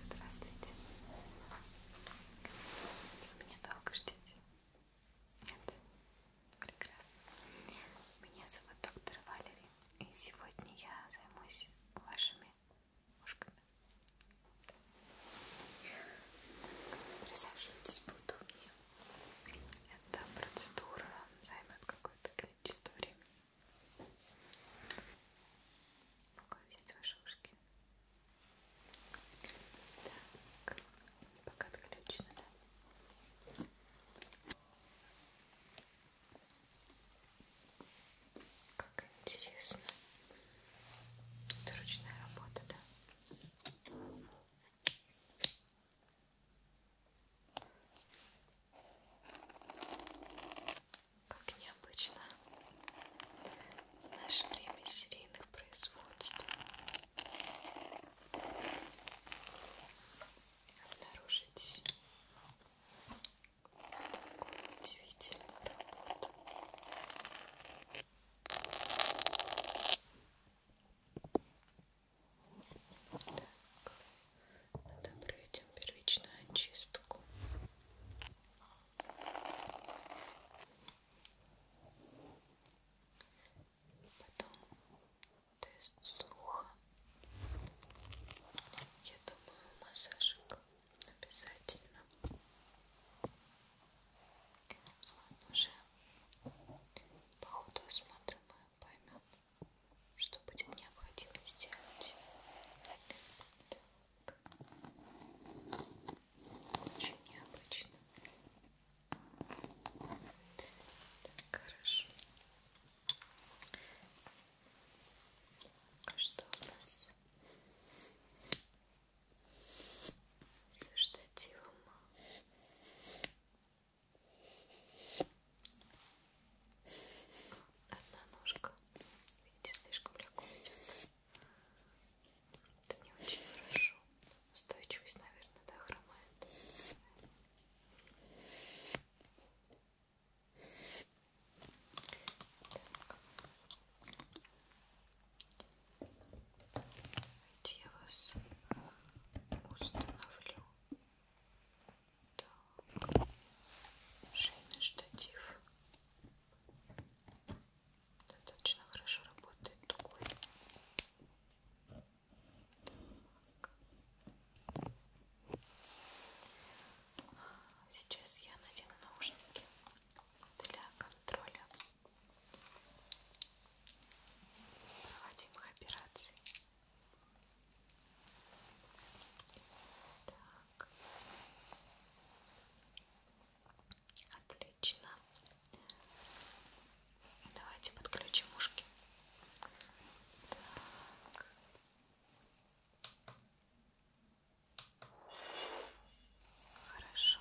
Здравствуйте. Вы меня долго ждете? Нет? Прекрасно. Меня зовут доктор Валери, и сегодня я займусь вашими ушками. Присаживайтесь поудобнее. Эта процедура займет какое-то количество времени. Могу взять ваши ушки. Так, пока отключено, да? Как интересно. Это ручная работа, да? Как необычно в наше время серийных производств обнаружить такую удивительную работу. Так, проведем первичную очистку. Потом тест слуха. Я думаю, массажик обязательно. Ладно, уже по ходу осмотра мы поймем, что будет необходимо сделать. Так. Очень необычно. Так, хорошо. А что у нас со штативом? Одна ножка. Видите, слишком легко идет. Это не очень хорошо. Устойчивость, наверное, да, хромает. Так. Давайте я вас установлю так. Шейный штатив. Достаточно хорошо работает тугой. Так. Сейчас я надену наушники для контроля проводимых операций. Так. Отлично. Давайте подключим ушки. Так. Хорошо.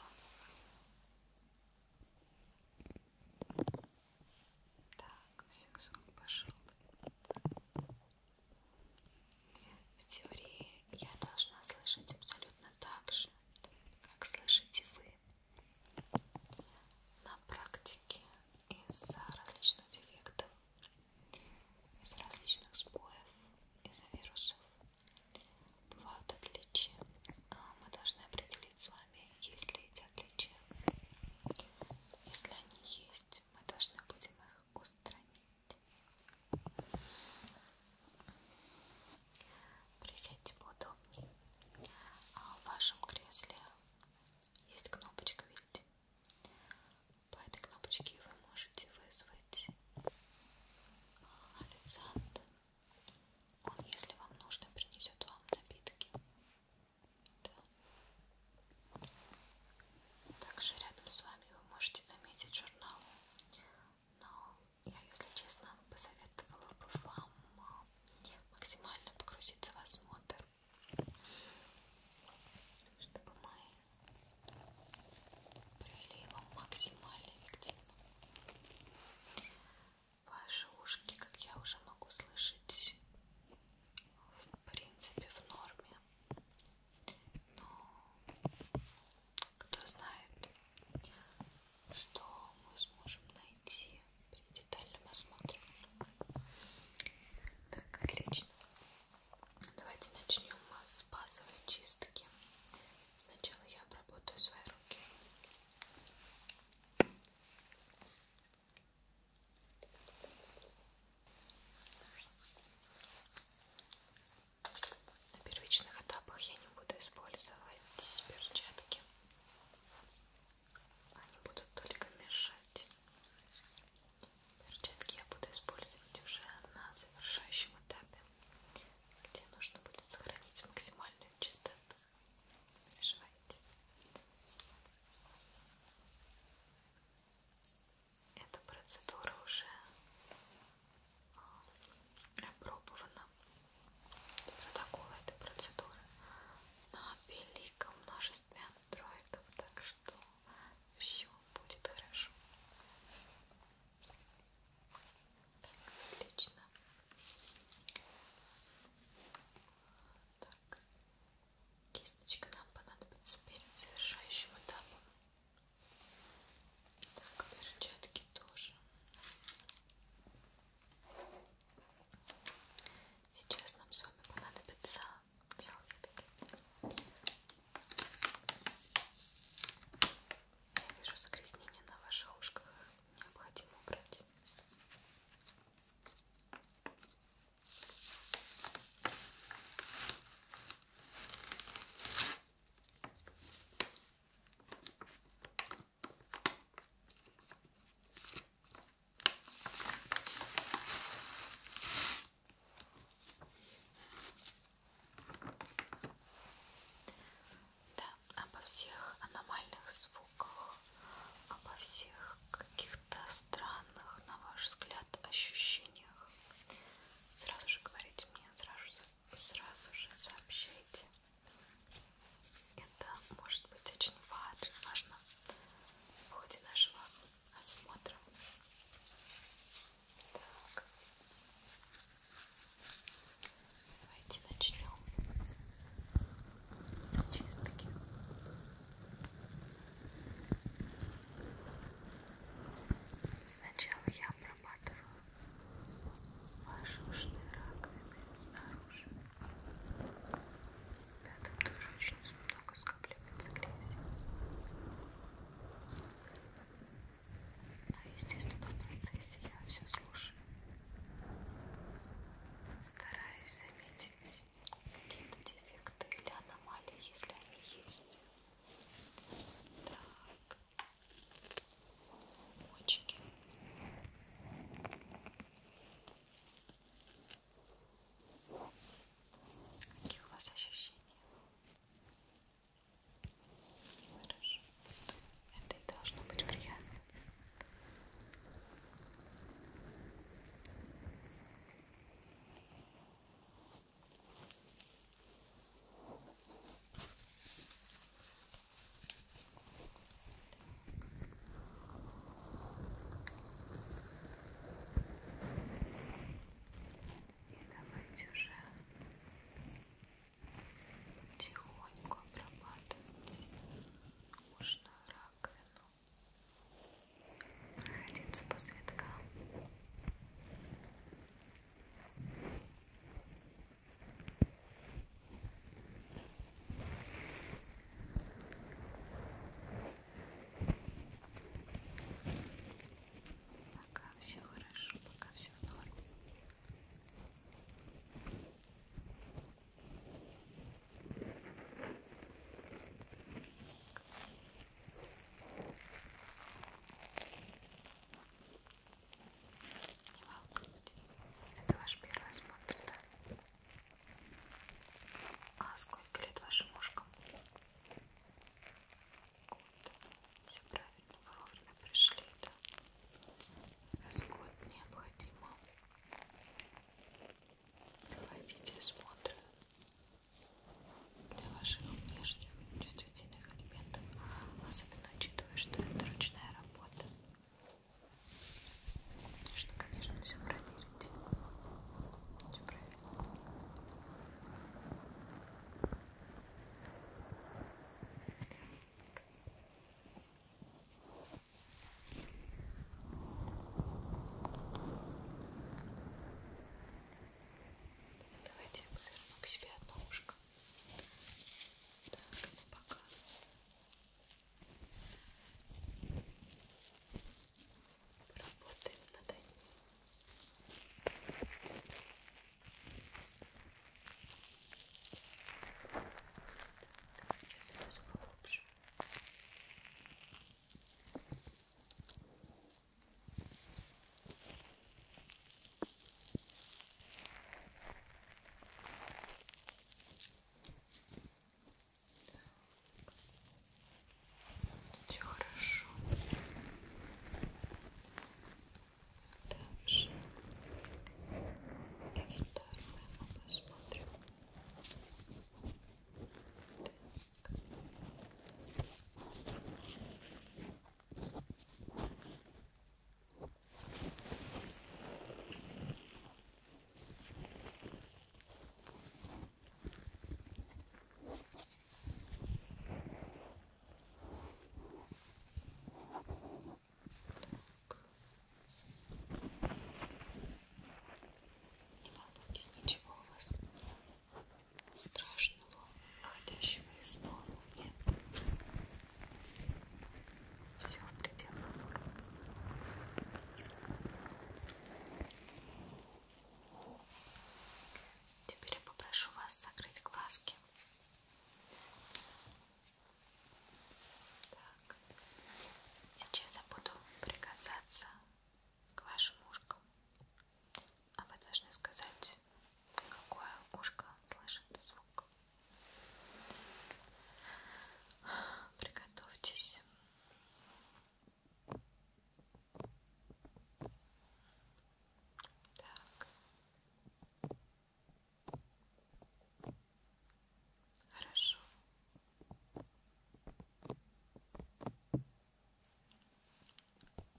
Так, все, звук пошел. В теории я должна слышать абсолютно так же, как слышите вы. На практике из-за различных дефектов, из различных сбоев, из-за вирусов бывают отличия. А мы должны определить с вами, есть ли эти отличия. Если они есть, есть мы должны будем их устранить. Присядьте поудобнее. А в вашем кресле есть кнопочка, видите? По этой кнопочке вы можете вызвать официанта. Он, если вам нужно, принесет вам напитки. Да. Также рядом с вами вы можете заметить журнал. Но я, если честно, посоветовала бы вам а, максимально погрузиться в осмотр, чтобы мы провели его максимально эффективно. Ваши ушки, как я уже могу слышать, в принципе в норме. Но кто знает, что мы сможем найти при детальном осмотре. Так, отлично. Давайте начнем с базовой чистки. Сначала я обработаю свои руки. На первичных этапах я не буду использовать перчатки. Они будут только мешать. Перчатки я буду использовать уже на завершающем этапе, где нужно будет сохранить максимальную чистоту. Переживайте. Эта процедура уже а, опробована. Протокол этой процедуры на великом множестве андроидов, так что все будет хорошо. Так, отлично. Так, Кисточка нам понадобится перед завершающим этапом. Так, перчатки тоже. Сейчас нам с вами понадобятся салфетки. Я вижу загрязнение на ваших ушках. Необходимо убрать. Да, обо всех аномальных звуках, обо всех каких каких-то странных, на ваш взгляд, ощущениях, сразу же говорите мне, сразу, сразу же сообщайте. Это может быть очень важно в ходе нашего осмотра. Так. Давайте начнем с чистки. Сначала я обрабатываю ваши ушные раковины снаружи. Да, там тоже очень много скапливается грязи. Но, ну, естественно, в процессе я все слушаю. Стараюсь заметить какие-то дефекты или аномалии, если они есть. Так, мочки. Какие у вас ощущения? Хорошо. Это и должно быть приятно. И давайте уже потихоньку обрабатывать ушную раковину проходиться по завиткам. Пока все хорошо, пока все в норме. Не волнуйтесь, это ваш первый осмотр, да? А сколько лет вашим ушкам? Год. Все правильно, вы вовремя пришли, да? Раз в год необходимо проводить осмотр для ваших внешних чувствительных элементов, особенно учитывая, что это ручная работа. Нужно, конечно, все проверить. Все проверить. Так. Давайте я поверну к себе одно ушко. Так, ну, пока. Поработаем над одним. Так, сейчас это поглубже. Все хорошо. Дальше. И второе мы посмотрим. Так. Не волнуйтесь, ничего у вас страшного, выходящего из нормы нет. Все в пределах нормы. Теперь я попрошу вас закрыть глазки. Так, сейчас я буду прикасаться к вашим ушкам. А вы должны сказать, какое ушко слышит звук. Приготовьтесь. Так. Хорошо.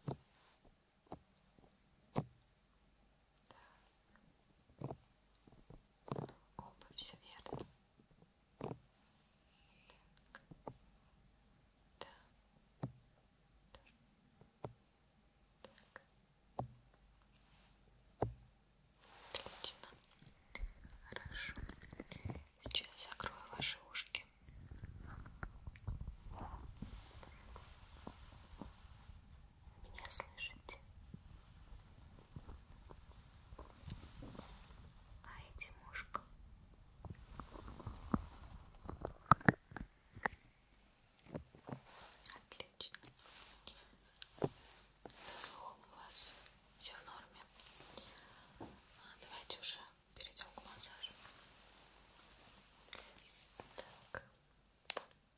Так. Обувь, все верно. Так. Да. Да. Так. Отлично. Хорошо. Сейчас закрою ваши ушки. Меня слышите? А эти мушка? Отлично. Со слухом у вас все в норме. Давайте уже перейдем к массажу. Так. Хорошо.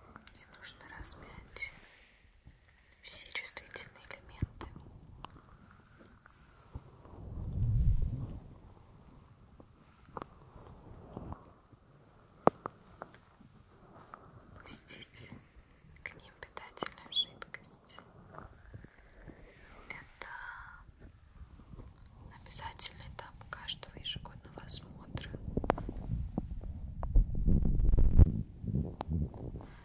Мне нужно размять все чувствительные элементы. Пустить к ним питательную жидкость. Это обязательный этап каждого ежегодного осмотра.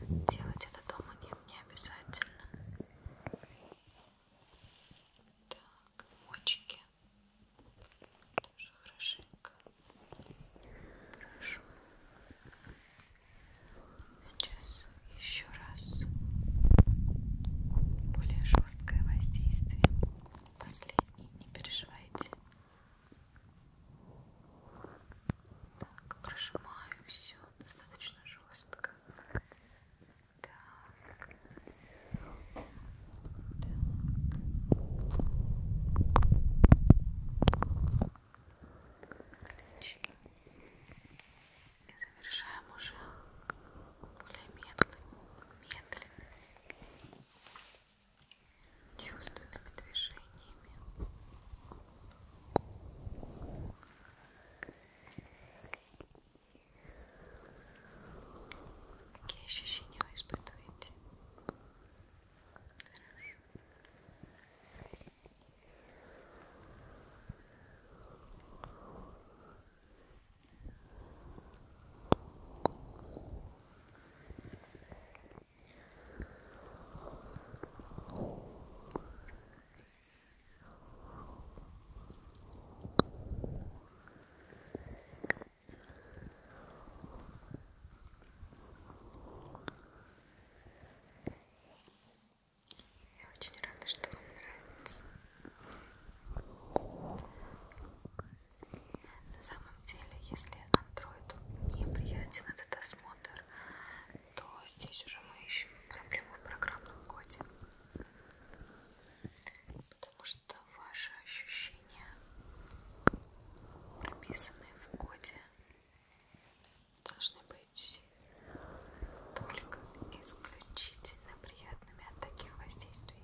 Делать это дома нет, не обязательно. Так, очки. Тоже хорошенько. Хорошо. Сейчас еще раз. Более жесткое воздействие. Последний, не переживайте. Так, прожимаю все достаточно жестко. Так. Так. Отлично. И завершаем уже более медленно, медленно, чувственными движениями. Какие ощущения вы испытываете? Я очень рада, что вам нравится. На самом деле, если андроиду неприятен этот осмотр, то здесь уже мы ищем проблему в программном коде. Потому что ваши ощущения, прописанные в коде, должны быть только исключительно приятными от таких воздействий.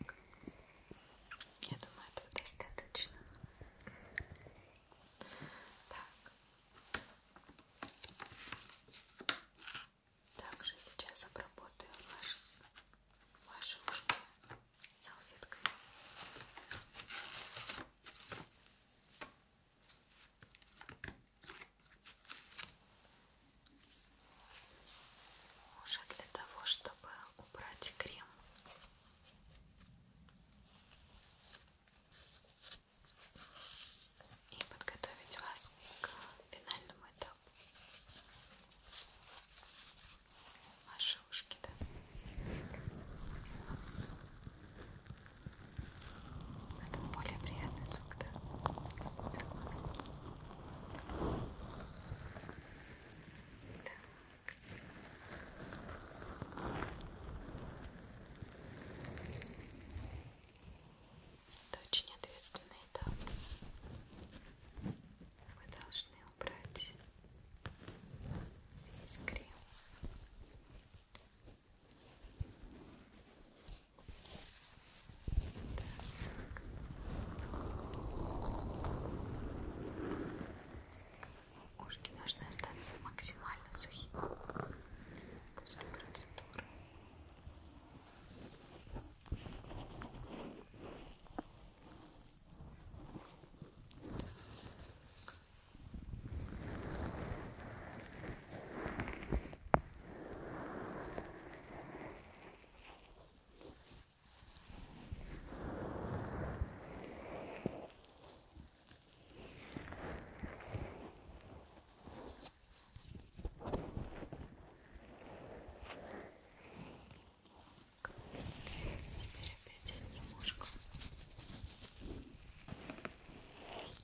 Так. Я думаю, этого достаточно. Так. Также сейчас обработаю ваш, ваши ушки салфеткой. Так. Уже для того, чтобы убрать крем. И подготовить вас к финальному этапу. Ваши ушки, да? Это более приятный суток. Это очень ответственный этап. Мы должны убрать весь крем. Ушки должны остаться максимально сухими после процедуры. Так. Теперь опять отдельно мушка.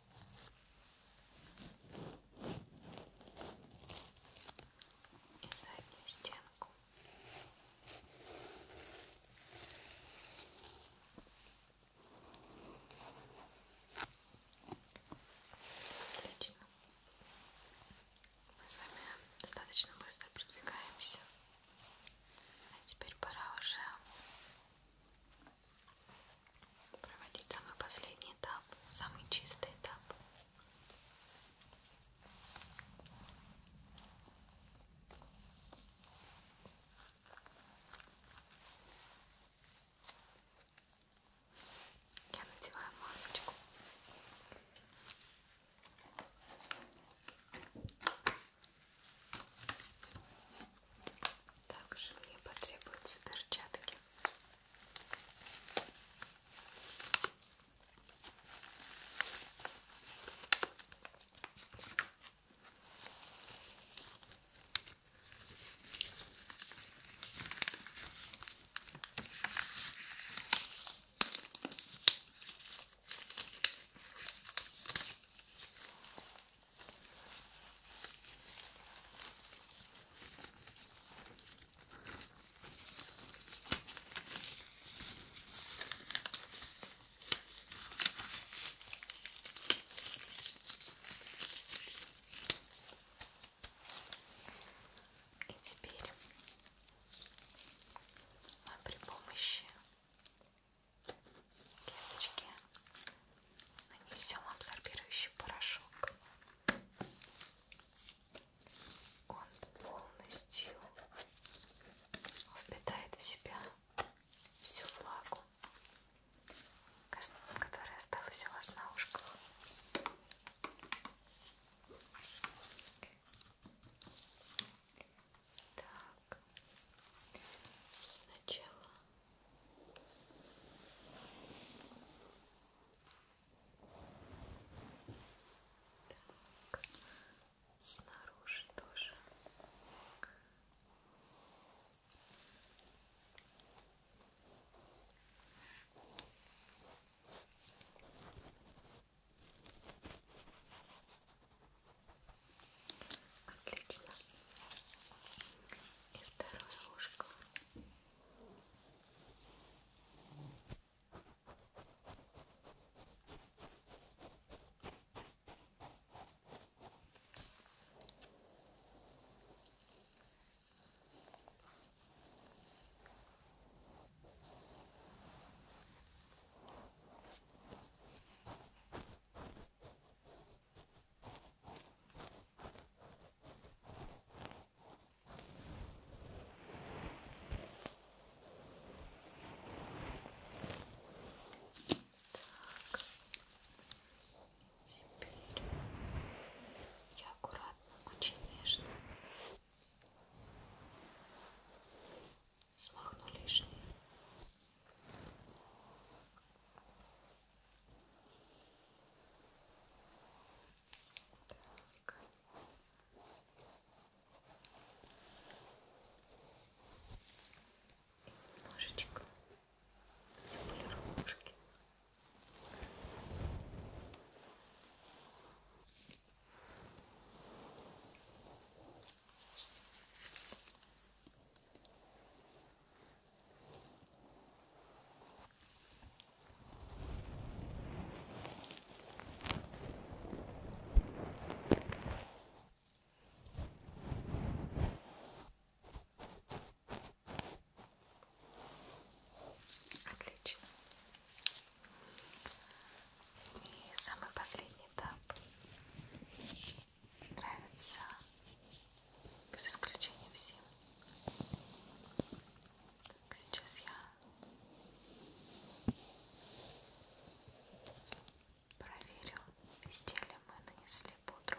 и заднюю стенку. Отлично. Мы с вами достаточно быстро продвигаемся. А теперь пора уже проводить самый последний этап, самый чистый этап. Я надеваю масочку. Также мне потребуются перчатки. И теперь мы при помощи кисточки нанесем абсорбирующий порошок. Он полностью впитает в себя всю влагу, которая осталась у вас на ушках. Так, сначала так, снаружи тоже. Отлично и второе ушко. Хорошо. Теперь я аккуратно, очень нежно смахну лишнее. Так. И немножечко заполировки. Так. Отлично. И самый последний этап. Нравится без исключения всем. Так, сейчас я проверю, везде ли мы нанесли пудру.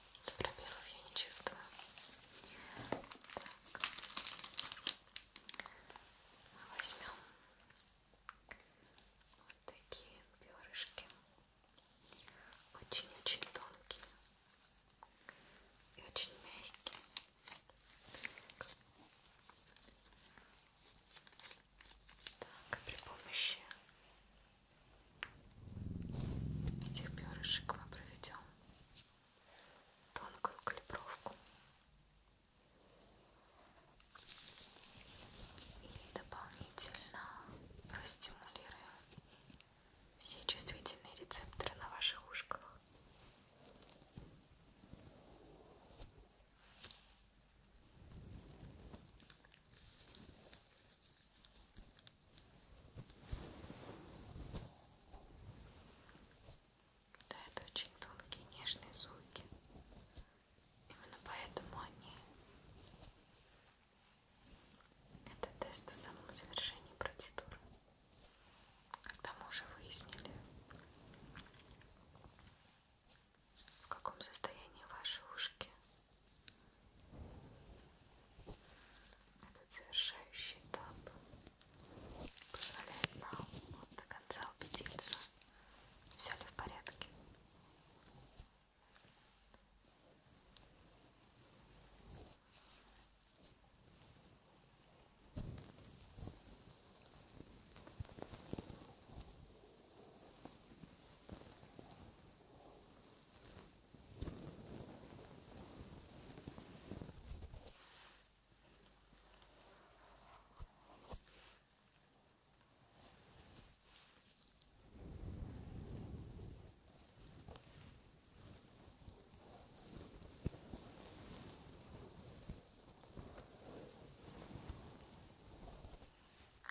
Пробелов я не чувствую. Так. Мы возьмем вот такие перышки. Очень-очень тонкие и очень мягкие. Так, и при помощи этих перышек мы проведем тонкую калибровку и дополнительно простимулируем все чувствительные рецепторы на ваших ушках. Да, это очень тонкие нежные звуки. Именно поэтому они это тест в самом завершении процедуры. Когда мы уже выяснили, в каком состоянии ваши ушки этот завершающий этап позволяет нам вот до конца убедиться, все ли в порядке.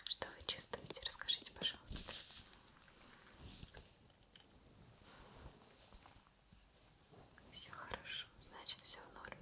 Что вы чувствуете? Расскажите, пожалуйста. Все хорошо, значит все в норме.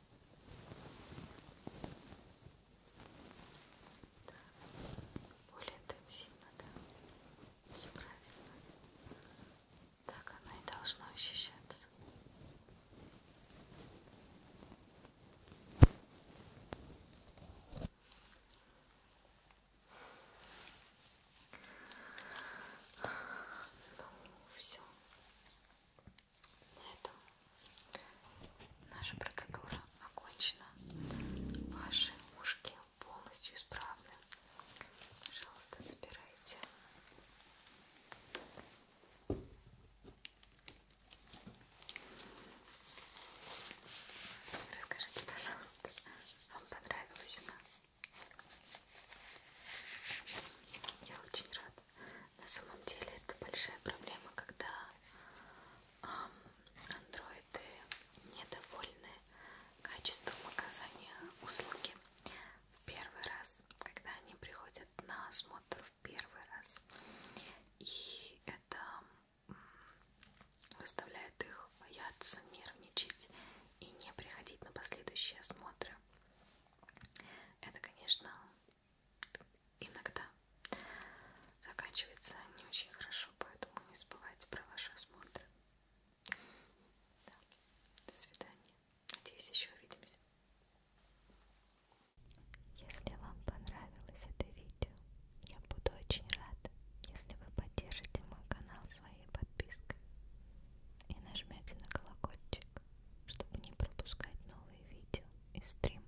Да. Более интенсивно, да. Все правильно. Так оно и должно ощущаться. Ну, все. На этом наша процедура окончена. Ваши ушки полностью исправны. Пожалуйста, забирайте. Расскажите, пожалуйста, вам понравилось у нас? Я очень рада. На самом деле это большая проблема, когда андроиды недовольны качеством оказания услуги в первый раз, когда они приходят на осмотр в первый раз. И это заставляет их бояться, нервничать и не приходить на последующие осмотры. Это, конечно, иногда заканчивается не очень хорошо, поэтому не забывайте про ваши осмотры. Да. До свидания. Надеюсь, еще увидимся. Если вам понравилось это видео, я буду очень рада, если вы поддержите мой канал своей подпиской и нажмете на колокольчик, чтобы не пропускать новые видео и стримы.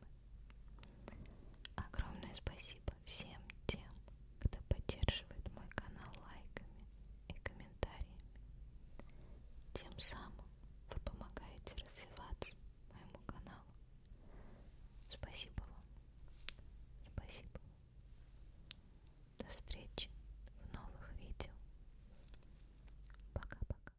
Огромное спасибо всем тем, кто поддерживает мой канал лайками и комментариями. Тем самым вы помогаете развиваться моему каналу. Спасибо вам. Спасибо. До встречи в новых видео. Пока-пока.